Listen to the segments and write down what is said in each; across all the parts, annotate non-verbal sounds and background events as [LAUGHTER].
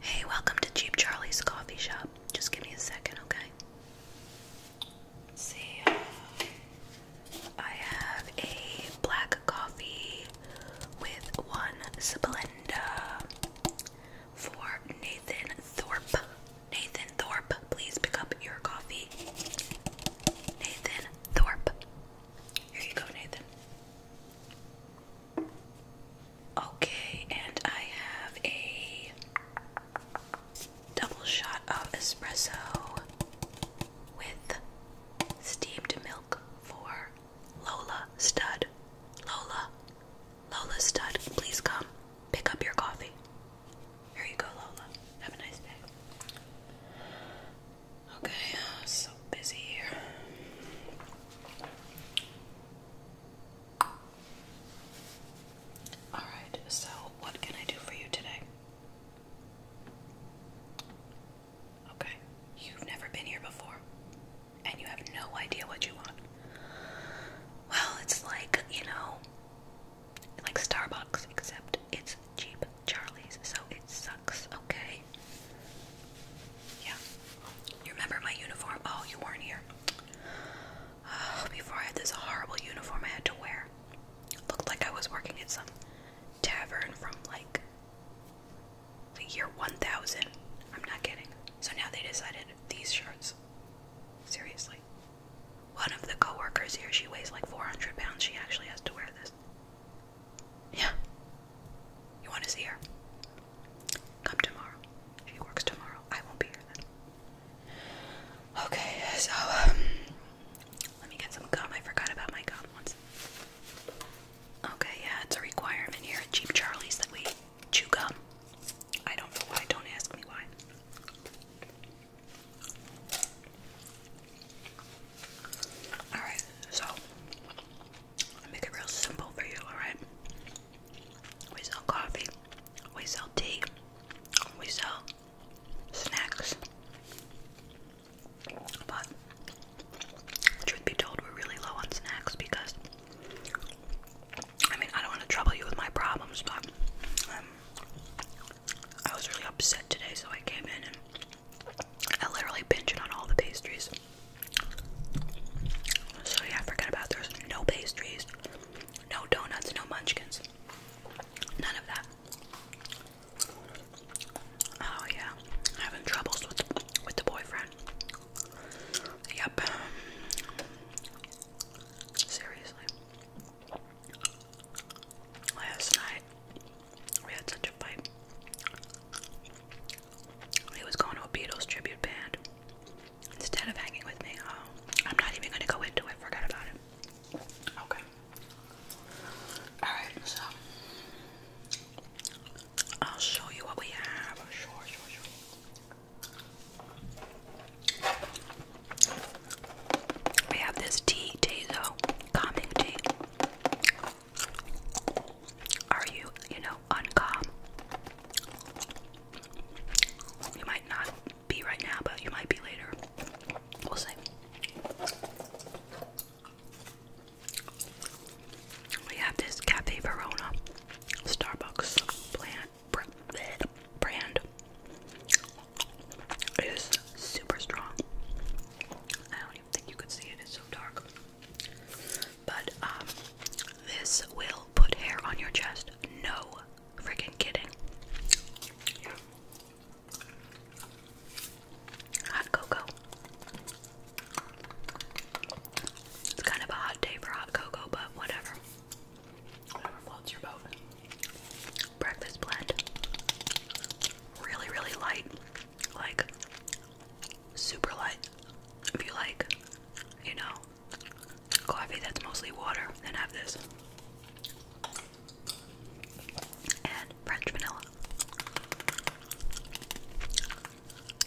Hey, welcome to Cheap Charlie's coffee shop. Just give me a second, okay? see, I have a black coffee with one Splenda for Nathan Thorpe. Nathan Thorpe, please pick up your coffee. Nathan Thorpe, here you go, Nathan. Okay, and I have a double shot of espresso with steamed milk for Lola Stud. Lola, Lola Stud, please come pick up your coffee. Here you go, Lola. Have a nice day. Okay, so busy here. Alright, so what can I do for you today? Okay, you've never been here before, and you have no idea what you want. Well, it's like, you know, like Starbucks, except it's cheap Charlie's, so it sucks, okay? Yeah. You remember my uniform? Oh, you weren't here. [SIGHS] before I had this horrible uniform I had to wear. Looked like I was working at some tavern from like the year 1000. I'm not kidding. So now they decided these shirts. Seriously. One of the coworkers here, she weighs like 400 pounds. She actually has to wear this. Yeah. You want to see her? Come tomorrow. She works tomorrow. I won't be here then. Okay, so um, let me get some gum. I forgot about my gum once. Okay, yeah, it's a requirement here at Cheap Charlie's that we chew gum. I don't know why. Don't ask me why. Alright, so I'll make it real simple for you, alright? We sell coffee, we sell tea, we sell snacks. But truth be told, we're really low on snacks because I mean I don't want to trouble you with my problems, but um, I was really upset today, so I came in and I literally pinched on all the pastries. So yeah, forget about there's no pastries, no donuts, no munchkins, none of that. Oh yeah, having troubles with with the boyfriend. Yep. Seriously. Last night we had such a fight. He was going to a Beatles tribute band instead of hanging with me. Um, I'm not even gonna go into it. Forget about it. Okay. All right. So I'll show you what we have. We have this tea, Tazo, calming tea. Are you, you know, uncalm? You might not be right now, but you might be later. We'll see. We have this Cafe Verona Starbucks plant brand is super strong. I don't even think you could see it, it's so dark. But um this will put hair on your chest. No freaking kidding. Hot cocoa. It's kind of a hot day for hot cocoa, but whatever. Breakfast blend. Really, really light. Like, super light. If you like, you know, coffee that's mostly water, then have this. And French vanilla.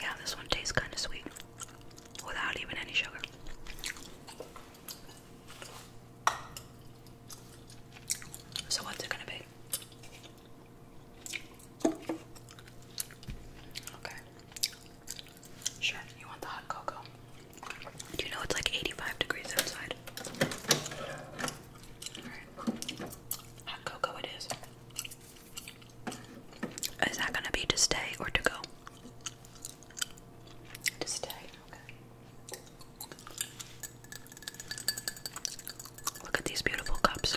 Yeah, this one tastes kind of sweet without even any sugar. So, what's it gonna be? Okay. Sure, you want the hot cocoa. Do you know it's like 85 degrees outside? Hot cocoa it is. Is that gonna be to stay or to go? Just stay, Look at these beautiful cups.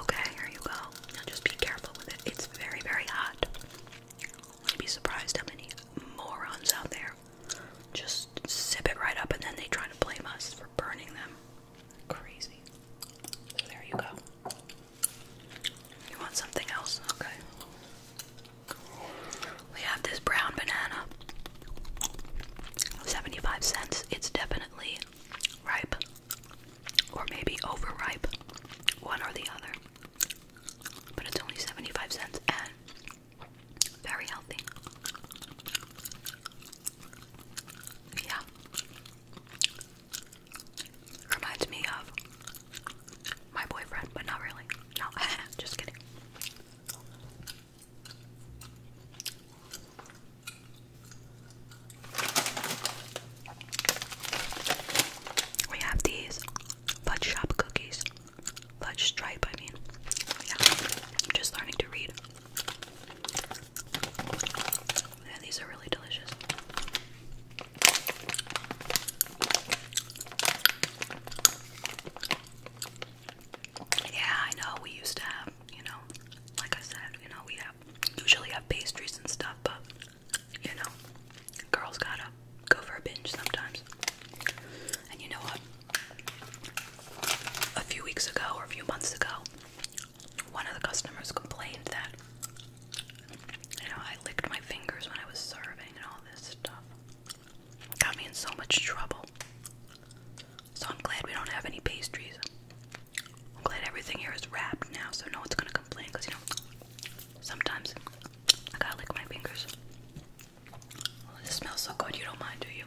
Okay, here you go. just be careful with it. It's very, very hot. You'd be surprised how many morons out there just sip it right up and then they try to blame us for burning them. Crazy. there you go. You want something else? Okay. We have this brown banana. 75 cents. It's definitely ripe. Or maybe overripe. One or the other. But it's only 75 cents and very healthy. Yeah. Reminds me of my boyfriend, but not really. No, [LAUGHS] just kidding. We have these fudge shop cookies. Fudge stripe, I mean. Yeah. just learning to read. Yeah, these are really delicious. Yeah, I know we used to have, you know, like I said, you know, we have usually have pastries and stuff, but you know, girls gotta go for a binge sometimes. And you know what? A few weeks ago or a few months ago, one of the customers complained that, you know, I licked my fingers when I was serving and all this stuff. Got me in so much trouble. So I'm glad we don't have any pastries. I'm glad everything here is wrapped now, so no one's gonna complain. Cause you know, sometimes I gotta lick my fingers. Oh, this smells so good. You don't mind, do you?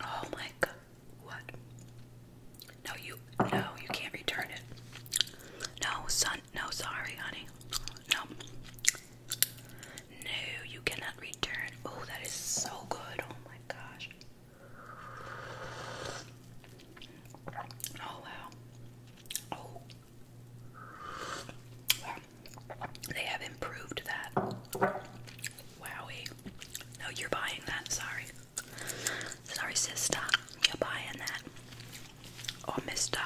Oh my god! What? No, you. No, you can't return it. No, son. No, sorry, honey. No. No, you cannot return. Oh, that is so good. Oh my gosh. Oh wow. Oh. Wow. They have improved that. Wowie. No, you're buying that, sorry. Sorry, sister. You're buying that. oh, mister.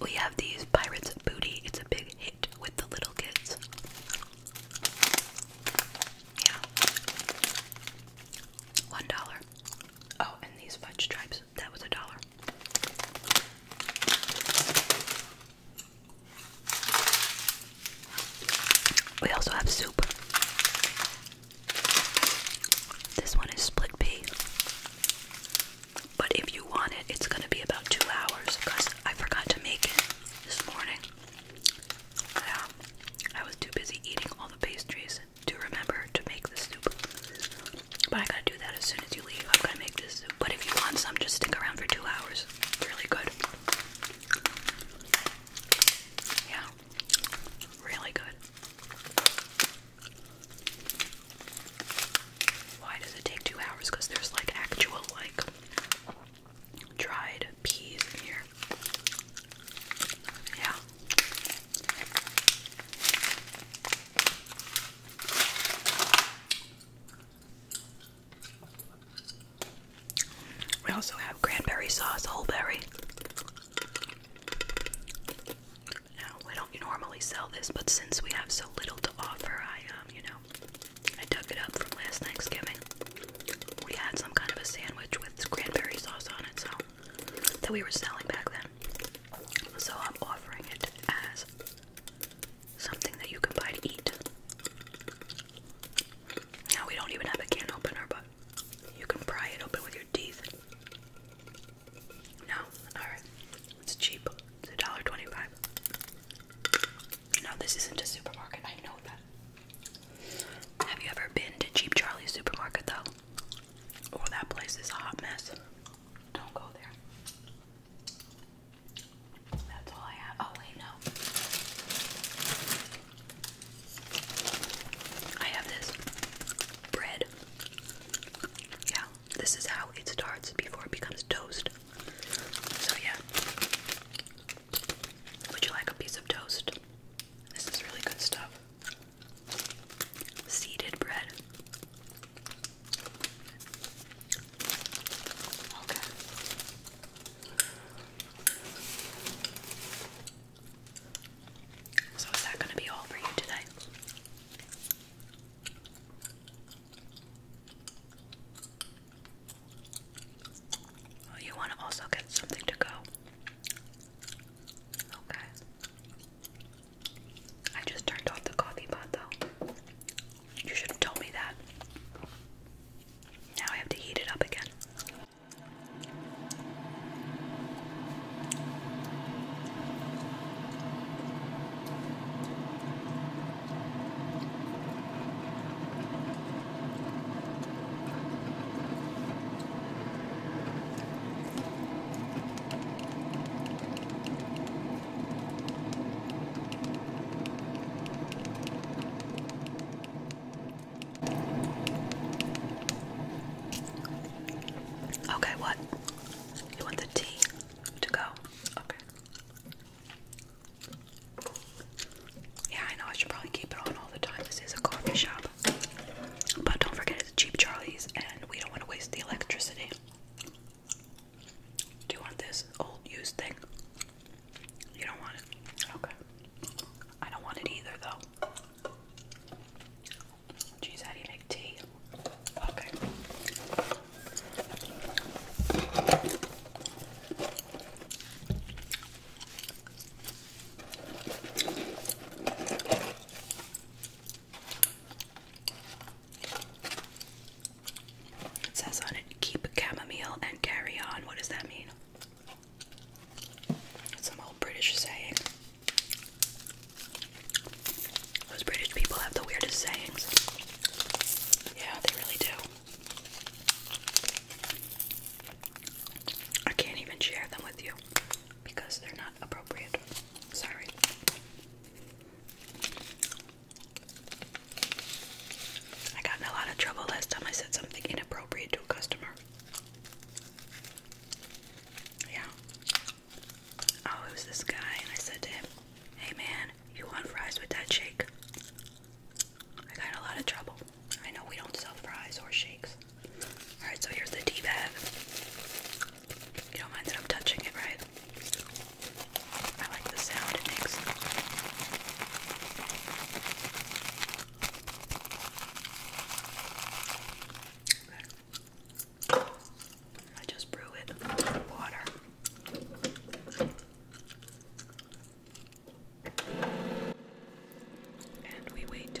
We have these Pirates Booty. It's a big with the little kids. Yeah. One dollar. Oh, and these fudge stripes. That was a dollar. We also have soup. This one is split pea. But if you want it, it's gonna be about two hours because I forgot to make it this morning. Yeah, um, I was too busy eating all the pastries to remember to make the soup. But I gotta do that as soon as you leave. i have got to make this soup. But if you want some, just stick around for two hours. Really good. Yeah, really good. Why does it take two hours? Because there's like actual like dried peas here. Yeah. We also have cranberry sauce, whole berry. Now we don't normally sell this, but since we have so little to offer, I um, you know, I dug it up from last Thanksgiving. We had some kind of a sandwich with cranberry sauce on it, so that we were selling back then. So I'm offering it as something that you can buy to eat. Now we don't even have a can opener, but you can pry it open with your teeth. No, alright. It's cheap. It's $1.25. No, this isn't a supermarket. I know that. Have you ever been to Cheap Charlie's supermarket though? Oh, that place is a hot mess. Don't go there. That's all I have. Oh, wait, no. I have this bread. Yeah, this is how it starts before it becomes toast. So, yeah. Would you like a piece of toast? This is really good stuff. Seeded bread. Okay. So, is that going to be all for you today? you want to also get something to go. Okay. I just turned off the coffee pot though. You should have told me that. Now I have to heat it up again. Okay, what? You want the tea to go? Okay. Yeah, I know I should probably keep it on all the time. This is a coffee shop. But don't forget it's cheap Charlie's and we don't want to waste the electricity. you want this old used thing? You don't want it? Okay. I don't want it either though. Jeez, how do you make tea? Okay. It says on it, keep chamomile and carry on. What does that mean? some old British saying. Those British people have the weirdest sayings. Yeah, they really do. I can't even share them with you because they're not appropriate. Sorry. I got in a lot of trouble last time I said something inappropriate to a customer. Yeah. Oh, it was this guy, and I said to him, Hey man, you want fries with that shake? I got a lot of trouble. I know we don't sell fries or shakes. Alright, so here's the tea bag. You don't mind that I'm touching it, right? I like the sound it makes. I just brew it with water. And we wait.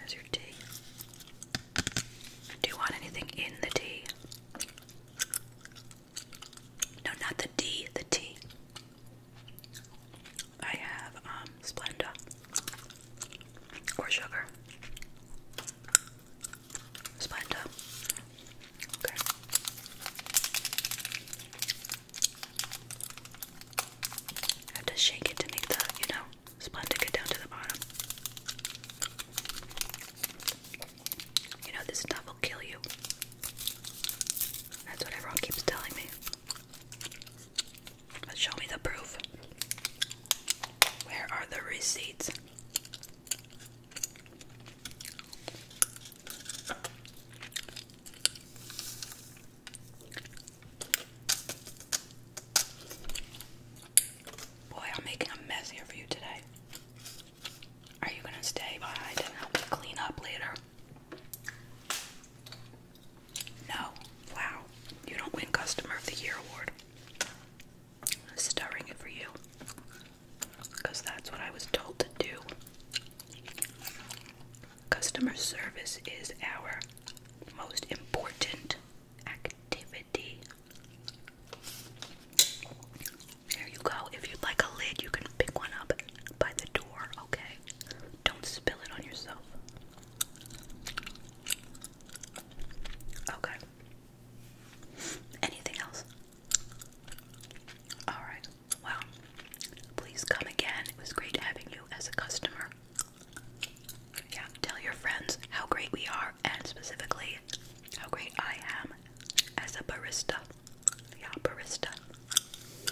There's your tea. Do you want anything in the tea? No, not the D, the tea. I have um Splenda or sugar. Splenda. Okay. have to shake it to make the, you know, Splenda, get down to the bottom. You know, this stuff will kill you. That's what everyone keeps telling me. But show me the proof. Where are the receipts? Boy, I'm making a mess here for you today. Are you gonna stay behind and help me clean up later? No. Wow. You don't win Customer of the Year award. i it for you. that's what I was told to do. Customer service is our most important activity. There you go. If you'd like a lid, you can pick one up by the door, okay? Don't spill it on yourself. Okay. Anything else? Alright. Well, please come again. It was great having you as a customer. Yeah, tell your friends how great we are and specifically how great I am as a barista. Yeah, barista. [SIGHS]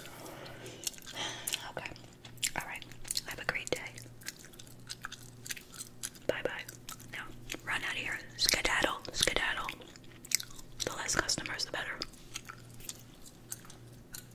Okay. Alright. Have a great day. Bye bye. Now run out here. Skedaddle. Skedaddle. The less customers the better.